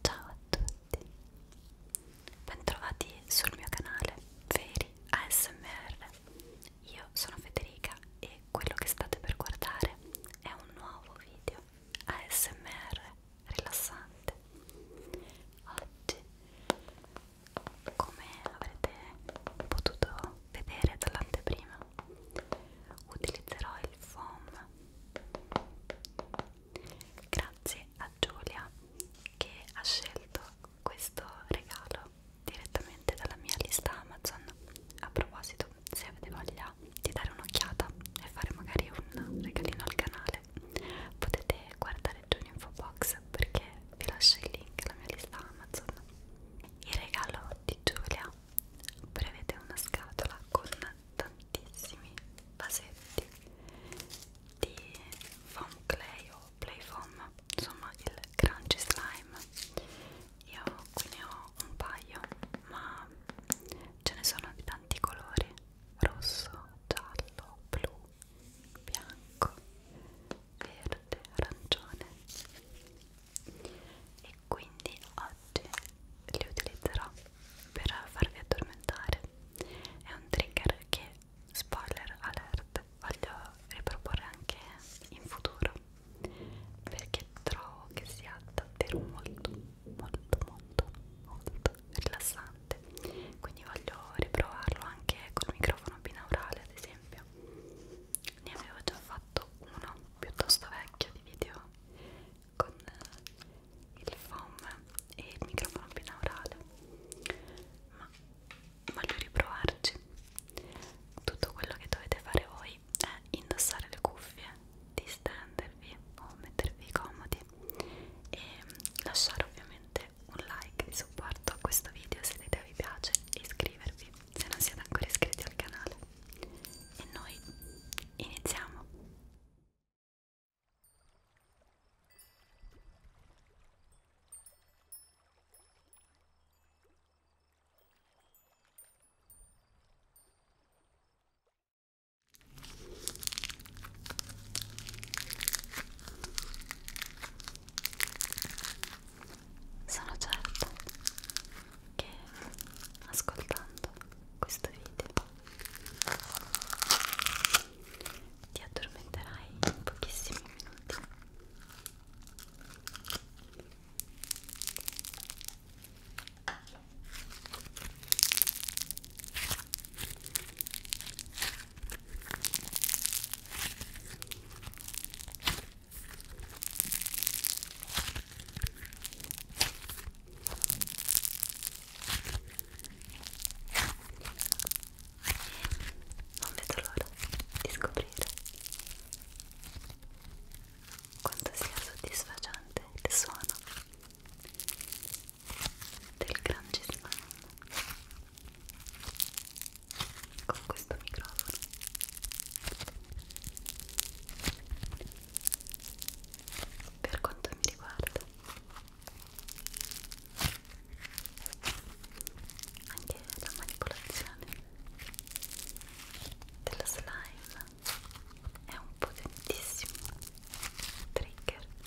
Ciao a tutti, bentrovati sul mio canale Veri ASMR. Io sono Federica e quello che state per guardare è un nuovo video ASMR rilassante oggi come avrete potuto vedere dall'anteprima utilizzerò il foam grazie a Giulia che ha scelto questo regalo direttamente dalla mia lista Amazon a proposito se avete voglia di dare un'occhiata e fare magari un regalino al canale piacere potete guardare giù in info box perché vi lascio il link alla mia lista Amazon il regalo di Giulia prevede una scatola con tantissimi vasetti di foam clay o play foam insomma il crunchy slime io qui ne ho un paio ma ce ne sono di tanti colori rosso, giallo, blu bianco, verde, arancione e quindi oggi li utilizzerò per farvi addormentare è un trigger che spoiler alert voglio riproporre anche in futuro perché trovo che sia davvero molto molto molto molto rilassante quindi voglio riprovarlo anche col microfono binaurale ad esempio ne avevo già fatto uno piuttosto vecchio di video con eh, il foam e il microfono binaurale ma voglio riprovarci tutto quello che dovete fare voi è indossare le cuffie distendervi o mettervi comodi e lasciare ovviamente un like di supporto a questo video se l'idea vi piace e iscrivervi se non siete ancora iscritti al canale. E noi iniziamo! Sono certa che ascoltando questo video ti addormenterai in pochissimi minuti. Non vedo l'ora di scoprire quanto sia soddisfacente il suono del grande slam con questo microfono per quanto mi riguarda anche la manipolazione della slime è un potentissimo trigger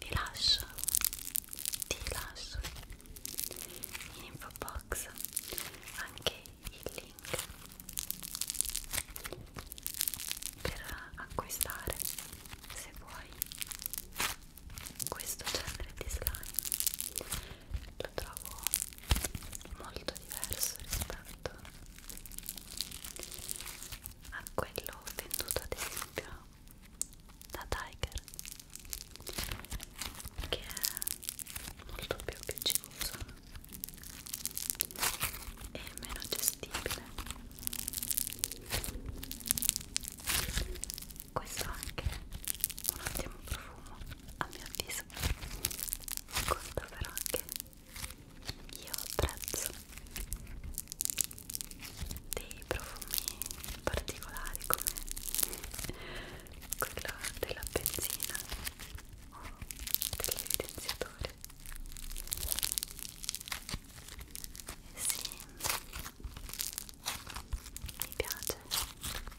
vi lascio ti lascio in info box anche il link per acquistare se vuoi questo genere di slime lo trovo molto diverso rispetto a quello venduto ad esempio da Tiger che è molto più picciosa e meno gestibile questo è anche un ottimo profumo a mio avviso conta però che io apprezzo dei profumi particolari come quello della benzina o dell'evidenziatore eh sì, mi piace il profumo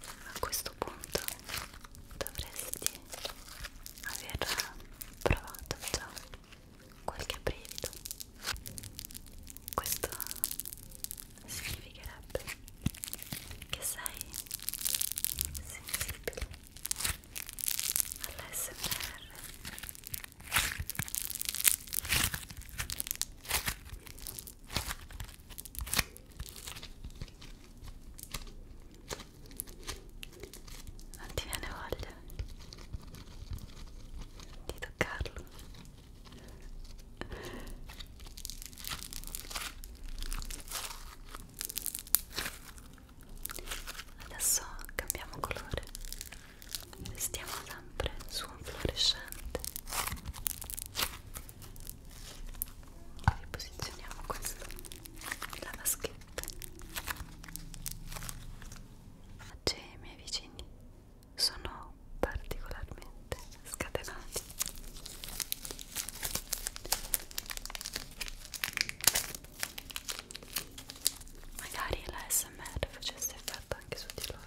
a questo punto dovresti aver provato già qualche brivido questo significherebbe che sei sensibile all'SMR non ti viene voglia di toccarlo? Adesso cambiamo colore, restiamo sempre su un fluorescente riposizioniamo questo la vaschetta Maggi e i miei vicini sono particolarmente scatenati magari la smr facesse effetto anche su di loro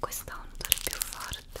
questa ha un odore più forte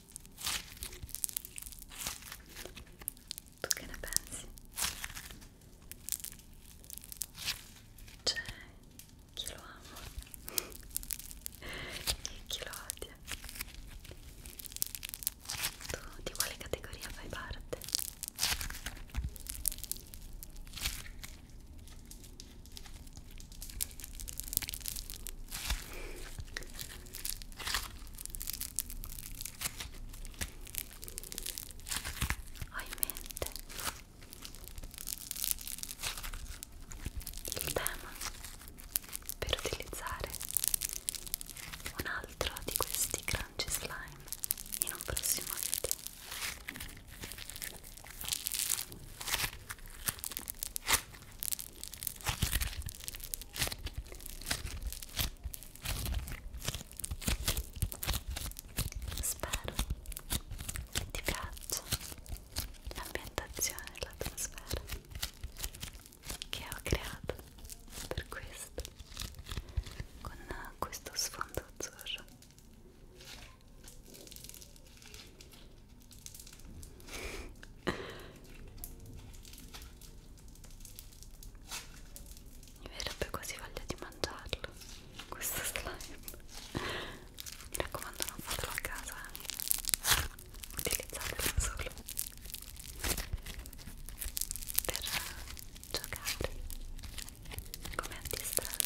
tu che ne pensi? c'è cioè, chi lo ama e chi lo odia tu di quale categoria fai parte? ho in mente il tema per utilizzare un altro di questi crunchy slime in un prossimo video Spero che ti piaccia l'ambientazione e l'atmosfera che ho creato per questo con questo sfondo azzurro mi verrebbe quasi voglia di mangiarlo questo slime. Mi raccomando, non fatelo a casa, eh. utilizzatelo solo per giocare come antistress.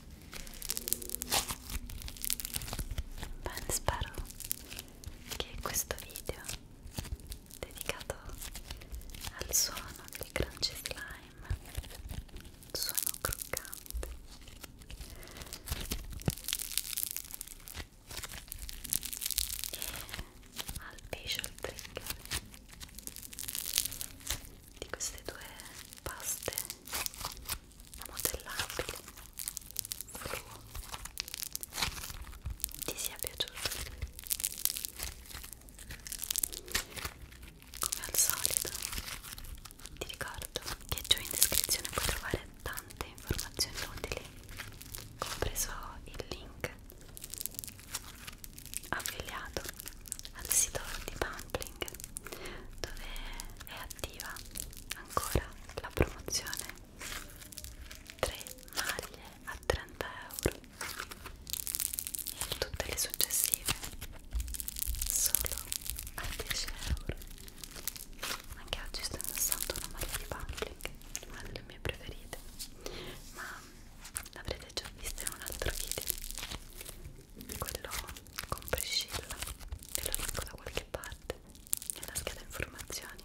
Bene, spero che questo video dedicato al suono di crunchy slime, suono croccante, e al visual trigger di queste due paste modellabile fluo ti sia piaciuto come al solito ti ricordo che giù in descrizione puoi trovare tante informazioni utili compreso il link affiliato al sito di Pampli shopping dove è attiva ancora la promozione 3 maglie a 30 euro e tutte le successive solo a 10 euro anche oggi sto indossando una maglia di Public una delle mie preferite ma l'avrete già vista in un altro video quello con Priscilla ve lo dico da qualche parte nella scheda informazioni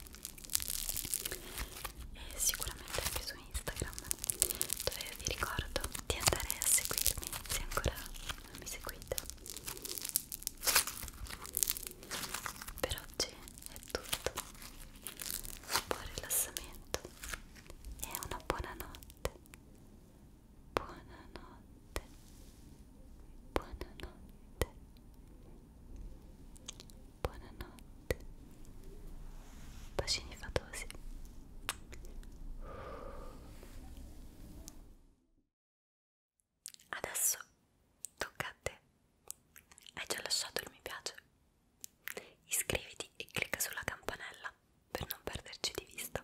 e sicuramente anche su Instagram dove vi ricordo di andare a seguirmi se ancora non mi seguite per oggi è tutto un buon rilassamento e una buona notte buonanotte, buonanotte, buonanotte, bacini fatosi. Adesso tocca a te. Hai già lasciato il mi piace? Iscriviti e clicca sulla campanella per non perderci di vista